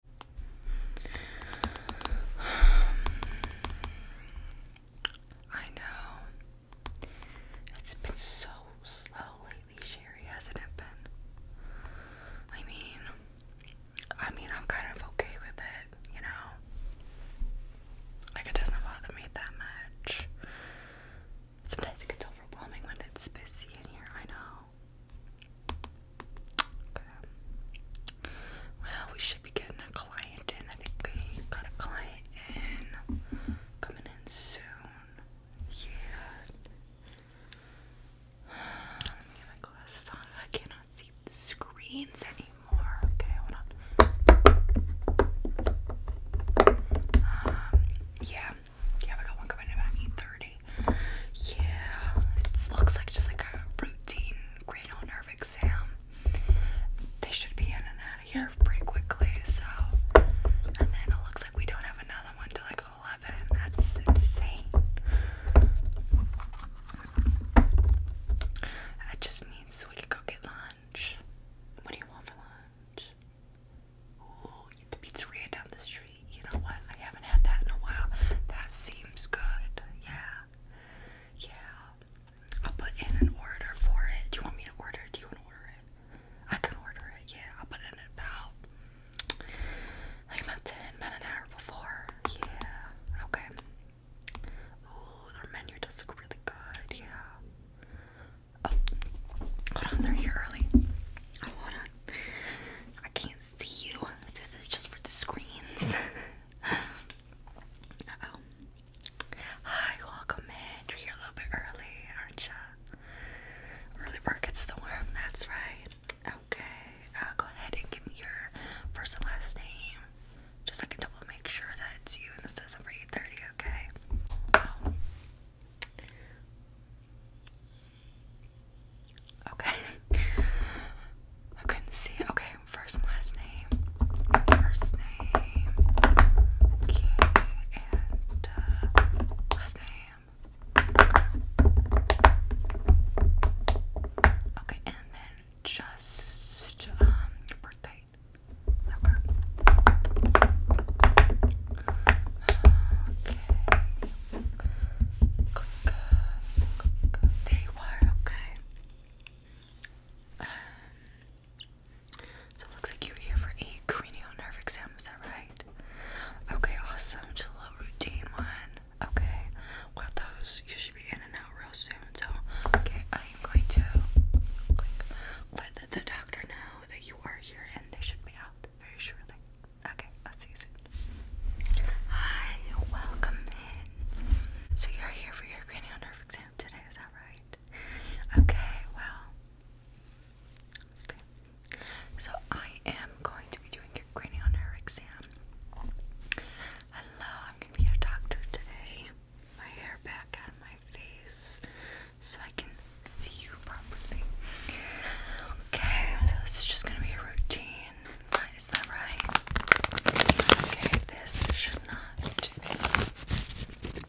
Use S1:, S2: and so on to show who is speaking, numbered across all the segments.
S1: I know. It's been so slow lately, Sherry, hasn't it been? I mean, I mean, I'm kind of okay with it, you know? Like, it doesn't bother me that much. Sometimes it gets overwhelming when it's busy in here, I know. Well, we should be getting a client in. I think we got a client in coming in soon. Yeah. Let me get my glasses on. I cannot see screens anymore. Okay, um, yeah, yeah, we got one coming in about 8.30. Yeah, it looks like just like a routine cranial nerve exam. They should be in and out of here pretty quickly, so. And then it looks like we don't have another one till like 11. That's insane. That just means we can go get lunch. What do you want for lunch? the pizzeria down the street. You know what? I haven't had that in a while. That seems good. Yeah. Yeah. I'll put in an order for it. Do you want me to order? Do you want to order it? I can order it. Yeah. I'll put it in about like about ten about an hour before. Yeah. Okay. Ooh, their menu does look really good. Yeah. Oh, hold on. They're here early. Oh, hold on. I can't see you. This is just for the screens. Hi, welcome in. You're here a little bit early, aren't you? Early bird gets the worm, that's right. Okay, uh, go ahead and give me your first and last name. Just so I can double make sure that it's you and this isn't 830, okay? Okay. I couldn't see. Okay, first and last name. First name. Uh, last name. Okay. and then just um, birthday. Okay click, click. There are, okay. Um, so it looks like you're here for a cranial nerve exam, is that right? Okay, awesome. Just a little routine one. Okay. Well those you should be in and out real soon. So okay, I am going to click, let the doctor know that you are here and they should be out very shortly. Okay, I'll see you soon. Hi, welcome in. So you're here for your cranial nerve exam today, is that right? Okay, well, stay. So I am going to be doing your cranial nerve exam. Hello, I'm gonna be your doctor today. My hair back out my face so I can see you properly. Okay, so this is just gonna be a routine. Is that right? Okay, this should not take very long.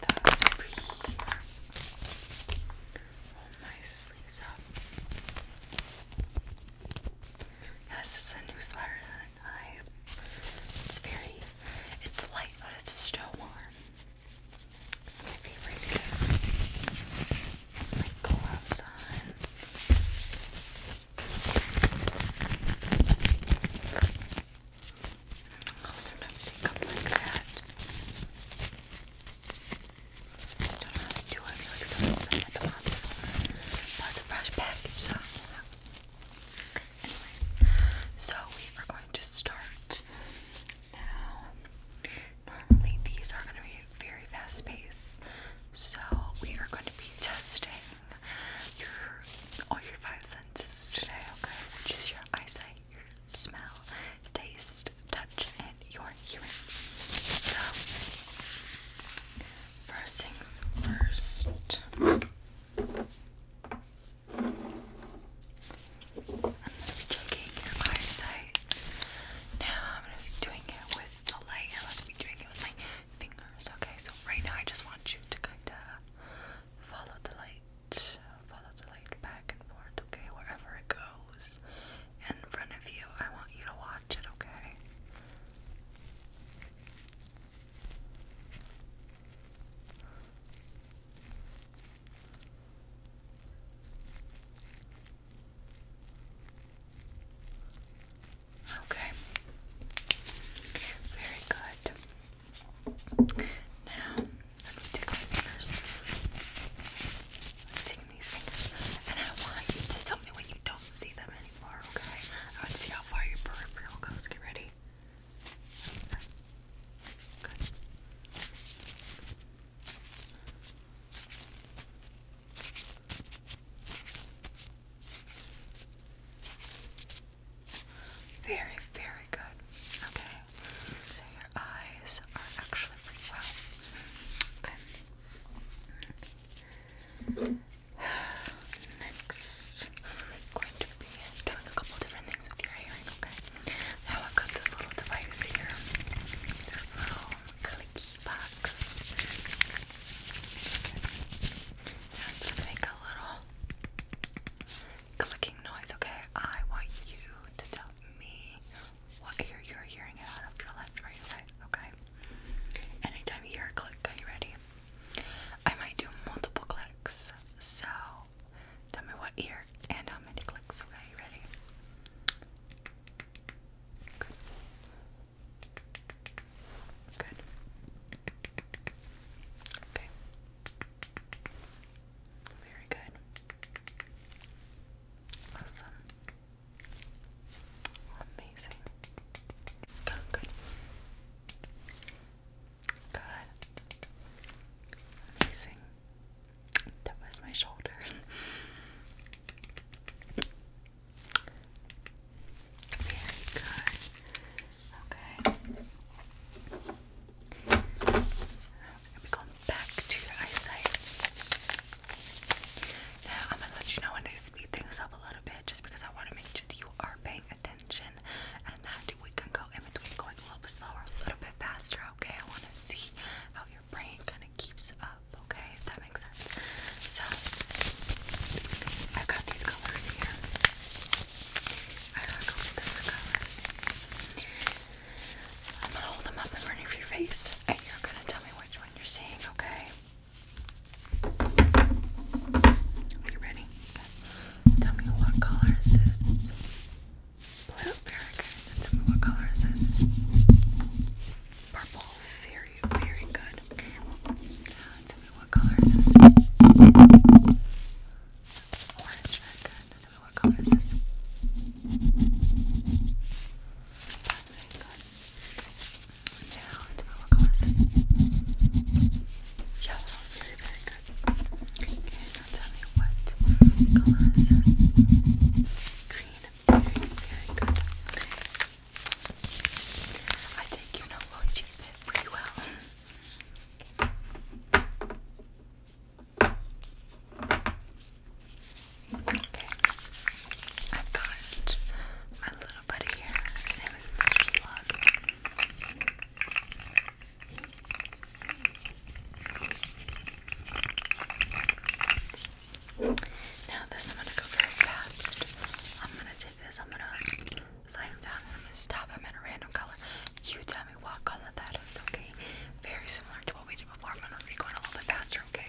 S1: That's over here. Roll my sleeves up. Yes, it's a new sweater nice. It's very, it's light, but it's still warm. It's my favorite My gloves on. Oh, sometimes they come like that. I don't know how to do it. I feel like someone from like the box. But it's a fresh so. Anyways, so we are going to start now. Normally, these are going to be very fast paced, so we are going to be testing your all your five senses today, okay? Which is your eyesight, your smell, taste, touch, and your hearing. So, first things first. I'm going to be checking your eyesight. Now I'm going to be doing it with the light. I'm going to be doing it with my fingers. Okay, so right now I just want you to kind of follow the light. Follow the light back and forth, okay, wherever it goes in front of you. I want you to watch it, okay? Okay. Very good. Now, let me take my fingers. I'm taking these fingers, and I want you to tell me when you don't see them anymore, okay? I would see how far your peripheral goes. Get ready. Good. Very, very good. Okay. So your eyes are actually pretty well. Okay. Next, going to be doing a couple different things with your hearing, okay? Now I've got this little device here, this little clicky box. Now gonna make a little clicking noise, okay? I want you to tell me what you you're hearing out of your left or your right, okay? Anytime you hear a click, are you ready? I might do multiple clicks. So tell me what ear and how many clicks. Okay, ready? Good. Good. Okay. Very good. Awesome. Amazing. Good, good. Good. That was my shoulder. Very good. Okay. I'm going back to your eyesight. I'm gonna let you know when they speed things up a little bit just because I want to make sure that you are paying attention and that we can go in between going a little bit slower, a little bit faster, okay? I want to see how your brain kind of keeps up, okay? If that makes sense. So, I've got these colors here. I don't go with different colors. I'm gonna hold them up in front of your face and you're gonna tell me which one you're seeing, okay? Are you ready? Tell me what color is this? Blue, very good. tell me what color is this? Purple, very, very good. Tell me what color is this? Orange, very good. Tell me what color is this? very good. Yellow, very, very good. Okay, now tell what color Green. Very, very good. I think you know Luigi bit pretty well. Okay. I've got my now this I'm gonna go very fast. I'm gonna take this, I'm gonna slide him down, stop him in a random color. You tell me what color that is, okay? Very similar to what we did before. but we're going a little bit faster, okay?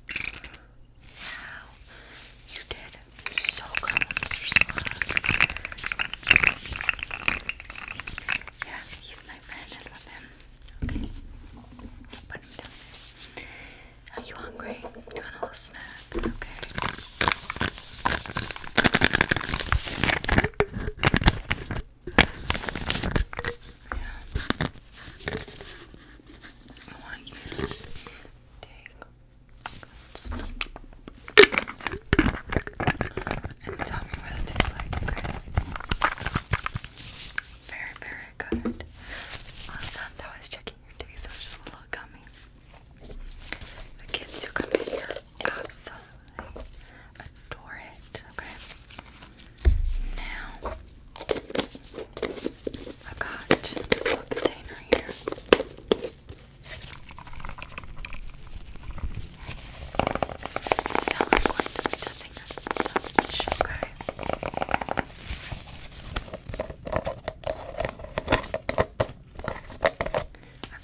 S1: Wow, you did so good, Mr. Slug. Yeah, he's my friend. I love him. Okay, put him down. Are you hungry? Do you want a little snack? Okay. Yeah. I want you Dang. And tell me what it tastes like, Very, very good. Awesome. was checking your taste. so it's just a little gummy. The kids who come in here absolutely adore it, okay? Now, I've got this little container here. I've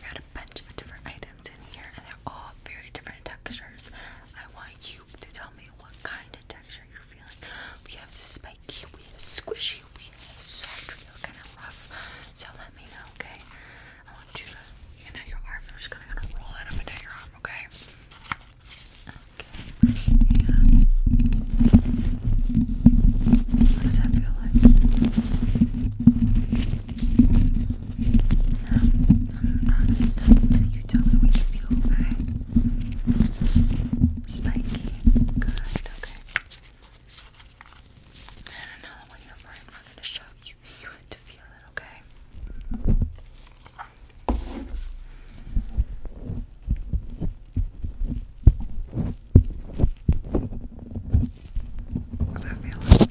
S1: got a bunch of different items in here and they're all very different textures. I want you to tell me what kind of texture you're we have spiky, we have a squishy, we have a soft, we have kind of rough. So let me know, okay? I want you to, you know, your arm. I'm just gonna kind roll it up and down your arm, okay? Okay. What does that feel like? I'm not. You tell you feel, okay? Spiky. Good, okay. And another one here for him. I'm gonna show you you to feel it, okay? What's that feeling?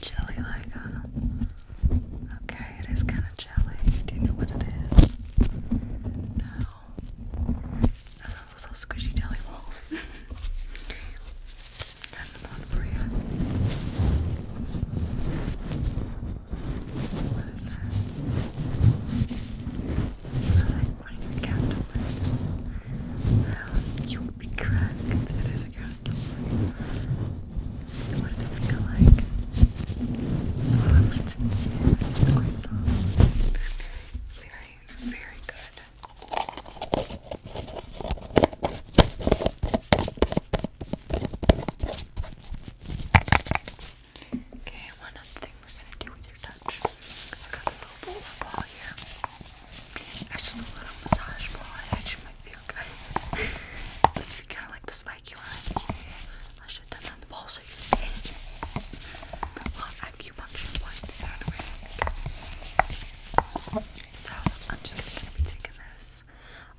S1: Chilly like, uh, Okay, it is kind of jelly. Do you know what it is? No. That sounds little squishy jelly balls. Got one for you. What is that? That's like one of your cactuses. Well, you would be correct. It is a cactus. And what does it feel like? It's quite soft. Very, very good. Okay, one other thing we're gonna do with your touch. i got this little ball here. Actually, a little massage ball. It actually might feel good. this figure, I like this like oh, I should have done the pulse. A lot of acupuncture points So I'm just gonna be taking this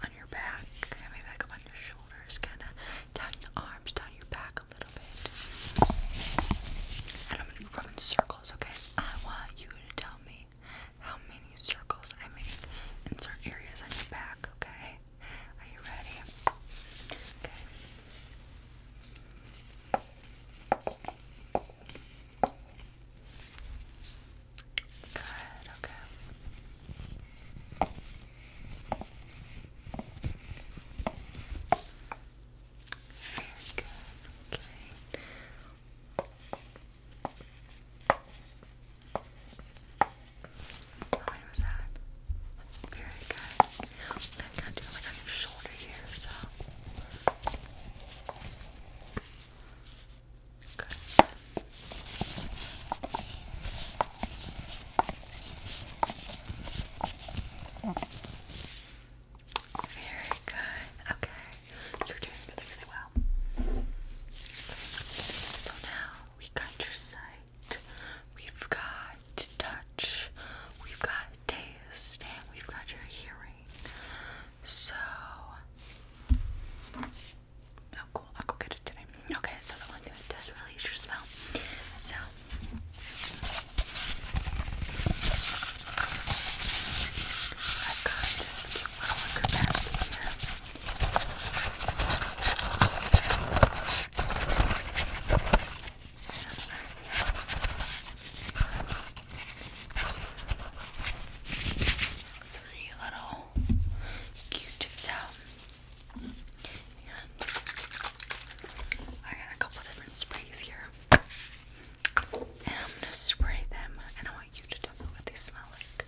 S1: on your back, maybe back up on your shoulders, kinda down your arms, down your back a little bit. And I'm gonna be rubbing circles, okay? I want you to tell me how many circles I make in certain areas on your back, okay? Are you ready? Okay. Good, okay. Very good, okay. How Very good. I'm do like on your shoulder here, so. Good. Very good. Okay. You're doing really, really well. So now we got your sight, we've got touch, we've got taste, and we've got your hearing. So, oh cool, I'll go get it today. Okay, so the one thing that does release your smell. So, i got Three little Q-tips out. And I got a couple different sprays here. And I'm gonna spray them and I want you to tell me what they smell like.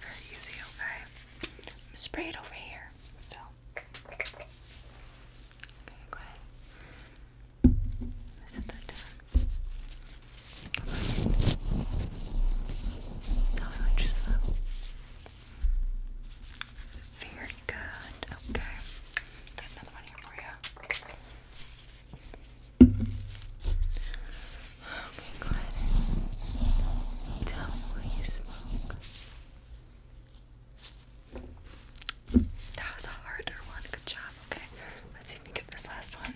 S1: Very easy, okay? I'm spray it over here. So okay, go ahead. Set that down. Tell me smell. Very good. Okay. Got another one here for you. Okay, go ahead. Tell me where you smoke. That was a harder one. Good job. Okay, let's see if we get this last one.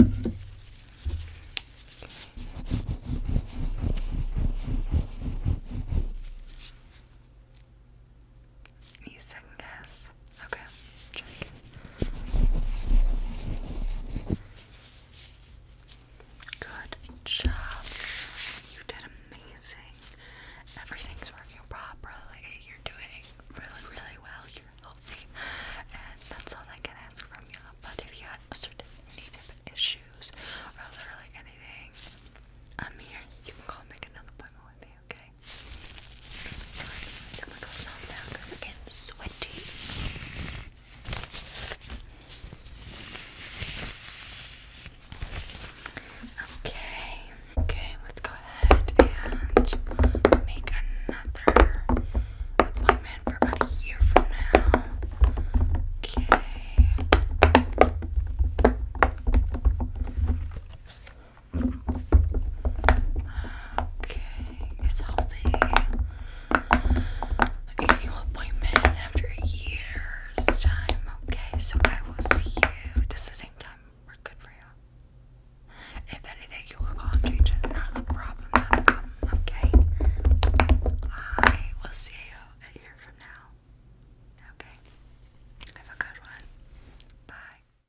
S1: Okay. second guess. Okay, Good job. You did amazing. Everything's working properly. You're doing really, really well. You're healthy. And that's all I can ask from you. But if you have any type of issues or literally anything, I'm here. You can call and another appointment okay? So goes off now because we're sweaty. Okay, okay, let's go ahead and make another appointment for about a year from now. Okay. Okay, it's healthy. Annual appointment after a year's time. Okay, so I will see you. Just the same time. We're good for you. If anything, you will call and Not a problem. Okay. I will see you a year from now. Okay. Have a good one. Bye.